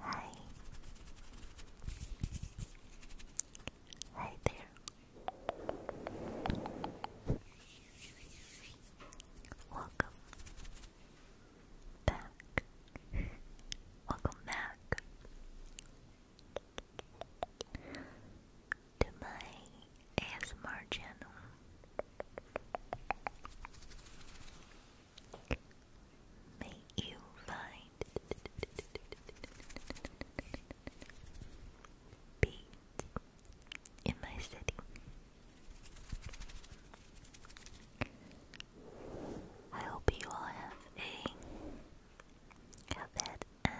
Hi. Hi there. Welcome back. Welcome back to my ASMR channel. May you find peace in my city. I hope you all have a have had an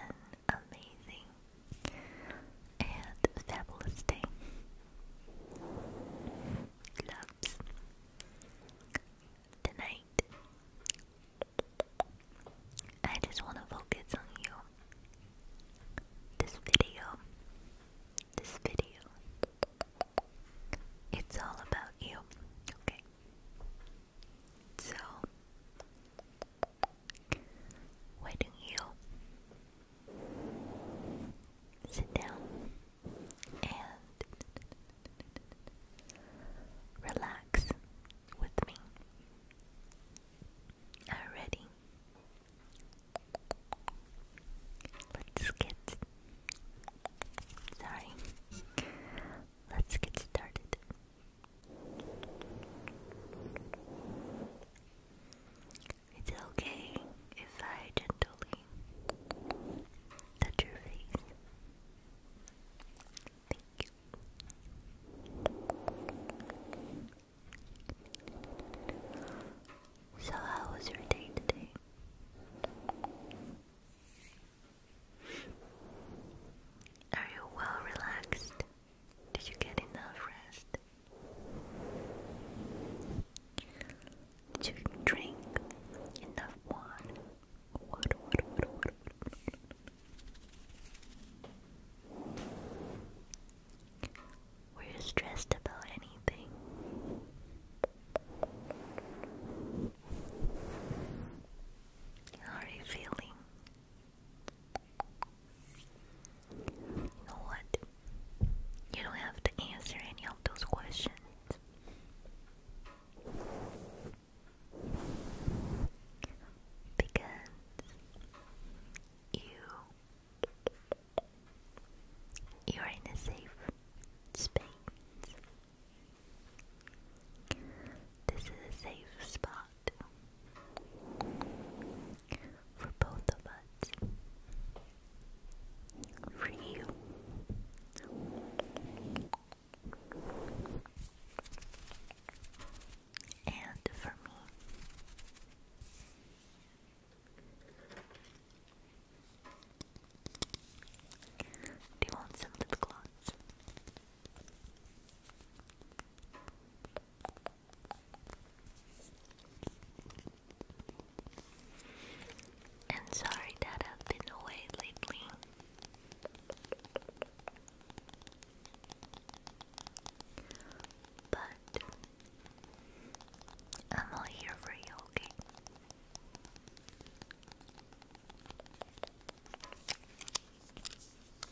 amazing and fabulous day. Loves. Tonight, I just want to focus on you. This video, this video, it's all about you, okay? So, why don't you sit down and relax with me? Are you ready? Let's get sorry. Let's get started. It's okay if I gently touch your face. Thank you. So, how was your day today? Are you well relaxed? Did you get enough rest? Did you drink enough water? Were you stressed about anything? How are you feeling? You know what? You don't have to answer any of those questions. Because you you're in a safe space. This is a safe spot lot for both of us, for you. And for me, do you want some lip gloss? And sorry that I've been away lately. But I'm all here for you, okay?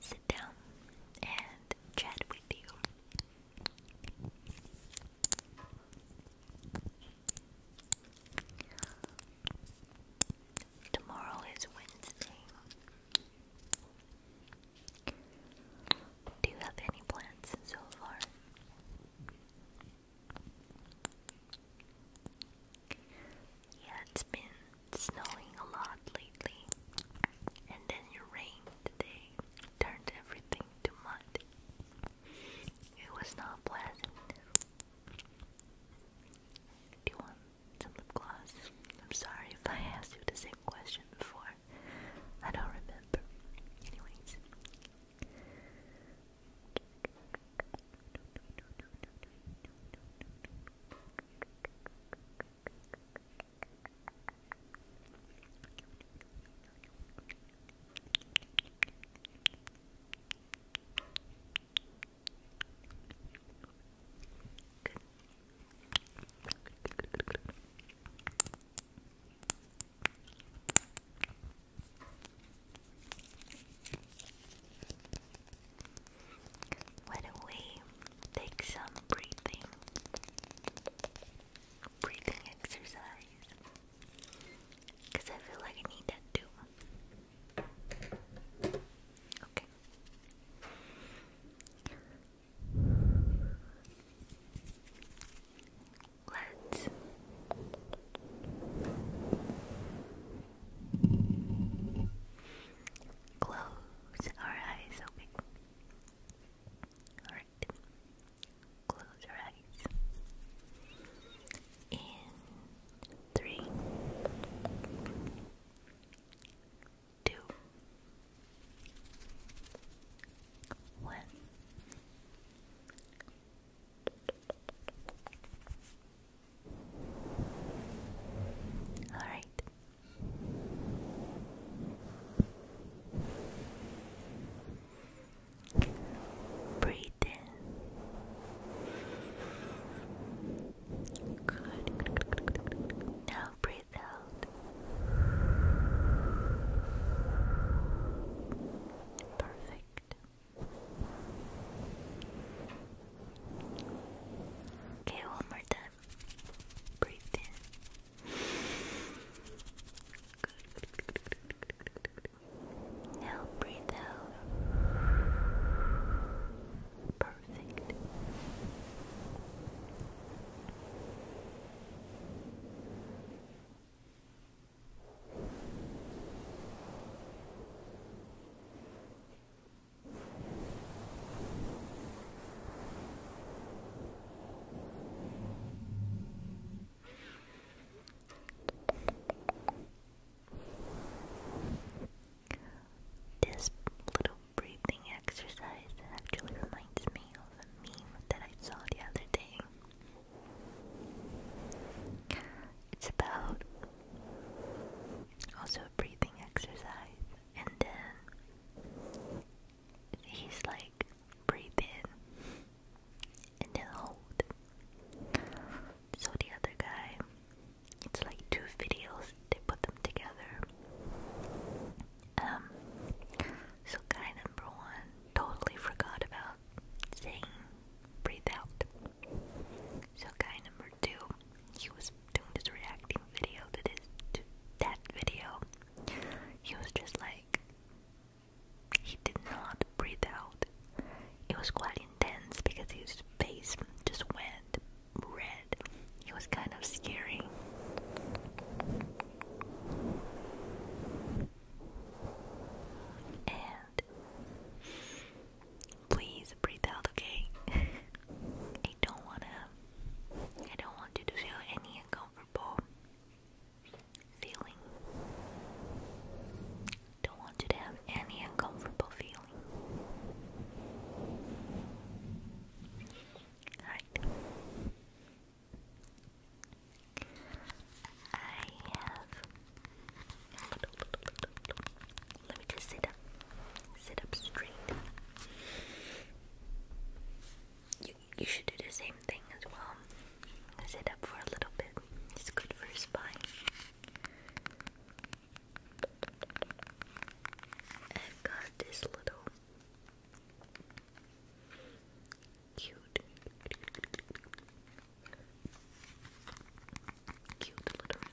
sit down and chat with you. Tomorrow is Wednesday. Do you have any plans so far? Yeah, it's been snowing a lot lately, and then your rain today turned everything to mud. It was not pleasant. Do you want some lip gloss? I'm sorry if I asked you the same question before. I don't remember. Anyways. What a way Take some breathing, breathing exercise, because I feel like I need that too. Okay. Let's close our eyes, okay? Alright. Close your eyes. In three, two, one. All right. Breathe in. Good. Now breathe out. Perfect. Okay, one more time. Breathe in. Now breathe out. Perfect. This little breathing exercise actually reminds me of a meme that I saw the other day. It's about also a breathing exercise, and then he's like breathe in and then hold. So the other guy, it's like two videos, they put them together. Um, so guy number one totally forgot about saying breathe out. So guy number two, he was doing this reacting video to this to that video he was just like, he did not breathe out. It was quite intense because his face just went red. It was kind of scary. And please breathe out, okay? I don't wanna I don't want you to feel any uncomfortable feeling. Don't want you to have any uncomfortable feeling. Alright. I have. Let me just sit up. Sit up straight you, you should do the same thing as well. Sit up for a little bit. It's good for your spine. i got this little cute, cute little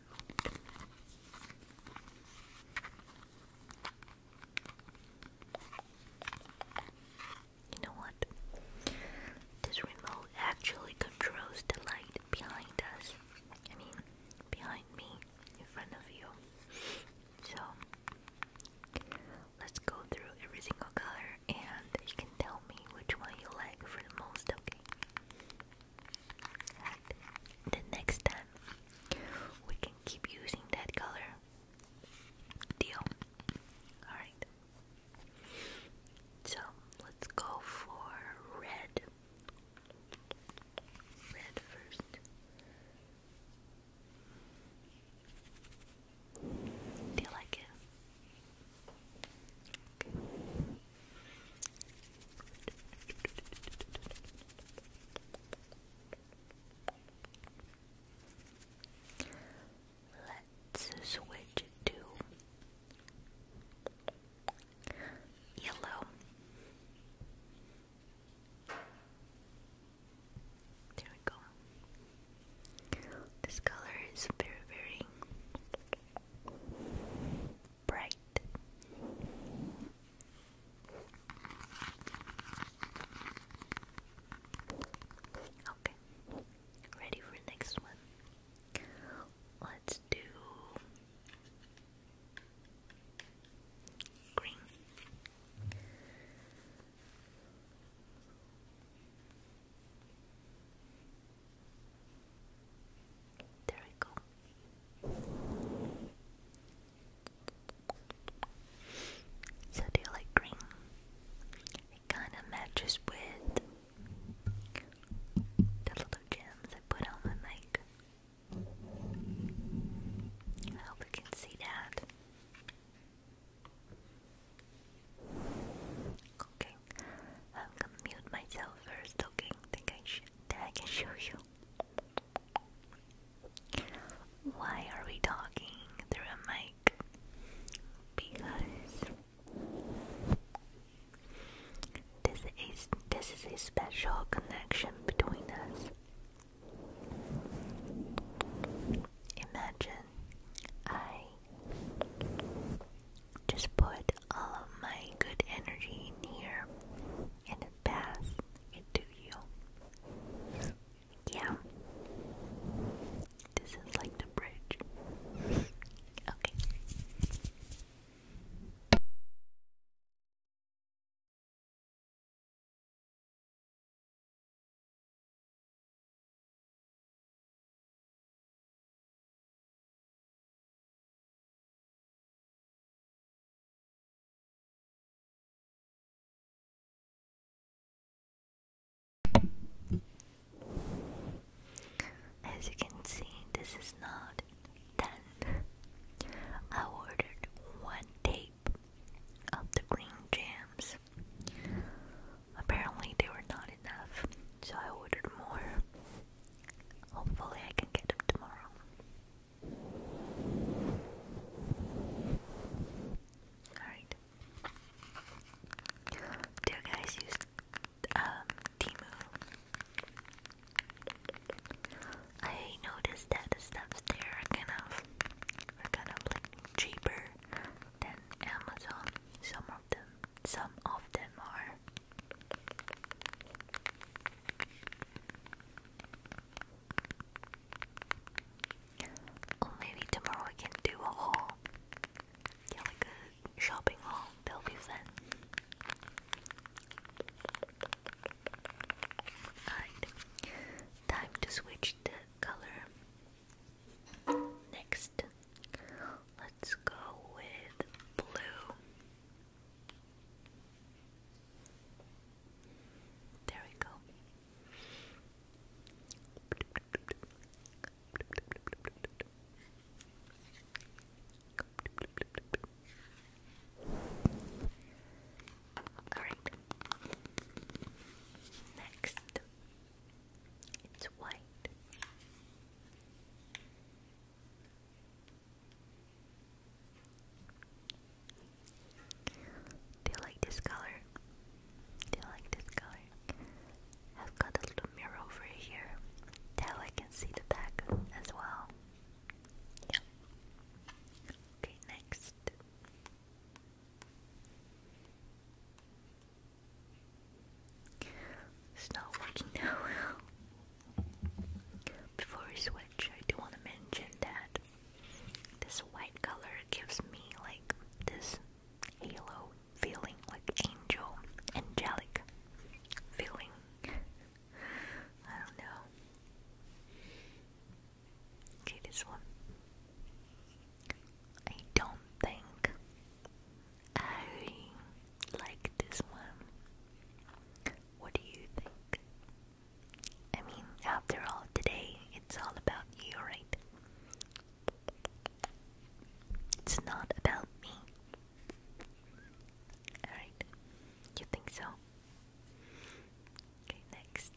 you know what? This remote actually controls the light behind us. I mean, behind me, in front of you. So, let's go through every single color and you can tell me which one you like for the most, okay? the next time, we can keep using that color Deal. Alright. So let's go for red. Red first. Do you like it? Okay. Let's switch to yellow. There we go. This color is very, very bright. Okay, ready for next one? Let's do green. There we go. So do you like green? It kind of matches with the little gems I put on my mic. I hope you can see that. Okay, I'm gonna mute myself first, okay? Think I should, I can show you. Why are we talking through a mic? Because this is this is a special connection between us. Imagine I just put all of my good energy here and pass it to you. Yeah. This is like the bridge. okay. As you can see, this is not done. I ordered one tape of the green jams. Apparently, they were not enough, so I ordered more. Hopefully, I can get them tomorrow. Alright. Do you guys use um Timu? I noticed that the stuffs there are kind of are kind of like cheaper than Amazon. Some of them some of them are well, maybe tomorrow we can do a haul. like a shopping haul. That'll be fun. Alright, time to switch the color. Next, let's go with blue. There we go. Alright. Next, it's white. Do you like this color? Do you like this color? I've got a little mirror over here. That way I can see the back as well. Yeah. Okay, next. It's not working that Before we switch, I do want to mention that this white color gives me like this halo feeling, like angel, angelic feeling. I don't know. Okay, this one. I don't think I like this one. What do you think? I mean, after all, today it's all about you, right? It's not about me. Alright, you think so? Okay, next.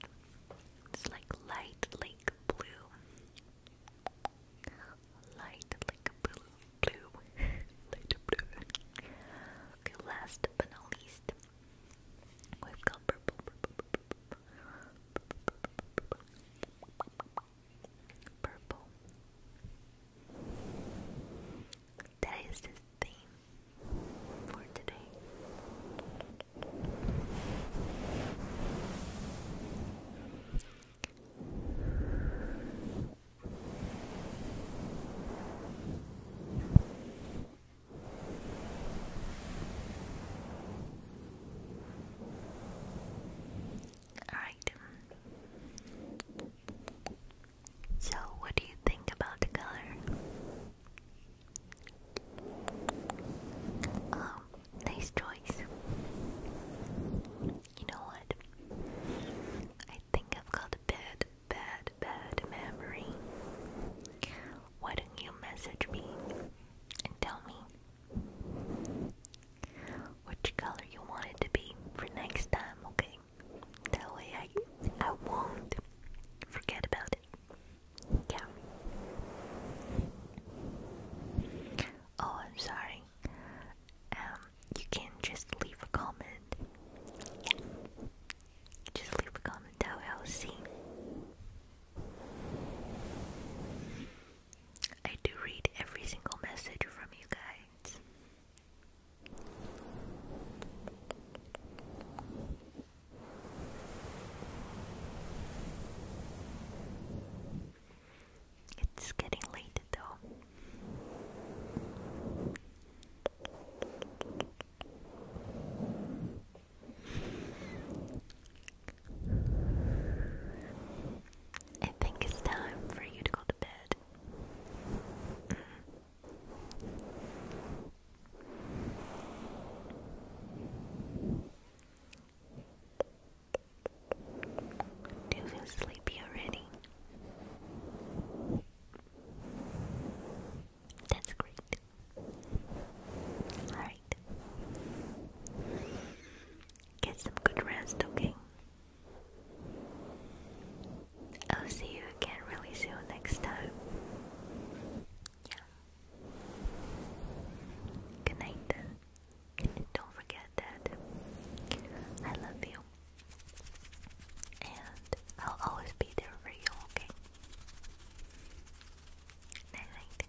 It's like light like blue. Light like blue. Blue. light blue. Okay, last but not least. We've got purple. Purple. That is the theme for today. Alright. So, what do you think about the color? Oh, nice choice. You know what? I think I've got a bad, bad, bad memory. Why don't you message me and tell me which color you want it to be for next time, okay? That way I I won't forget about it. Yeah. Oh, I'm sorry. Um, you can just leave a comment. Yeah. Just leave a comment that way I do read every single message from you guys. It's getting late though. I think it's time for you to go to bed. Mm-hmm. Do you feel sleepy already? That's great. Alright. Get some good rest, okay? I'll see you again really soon next time. Yeah. Good night. don't forget that I love you. And I'll always be there for you, okay? Night night.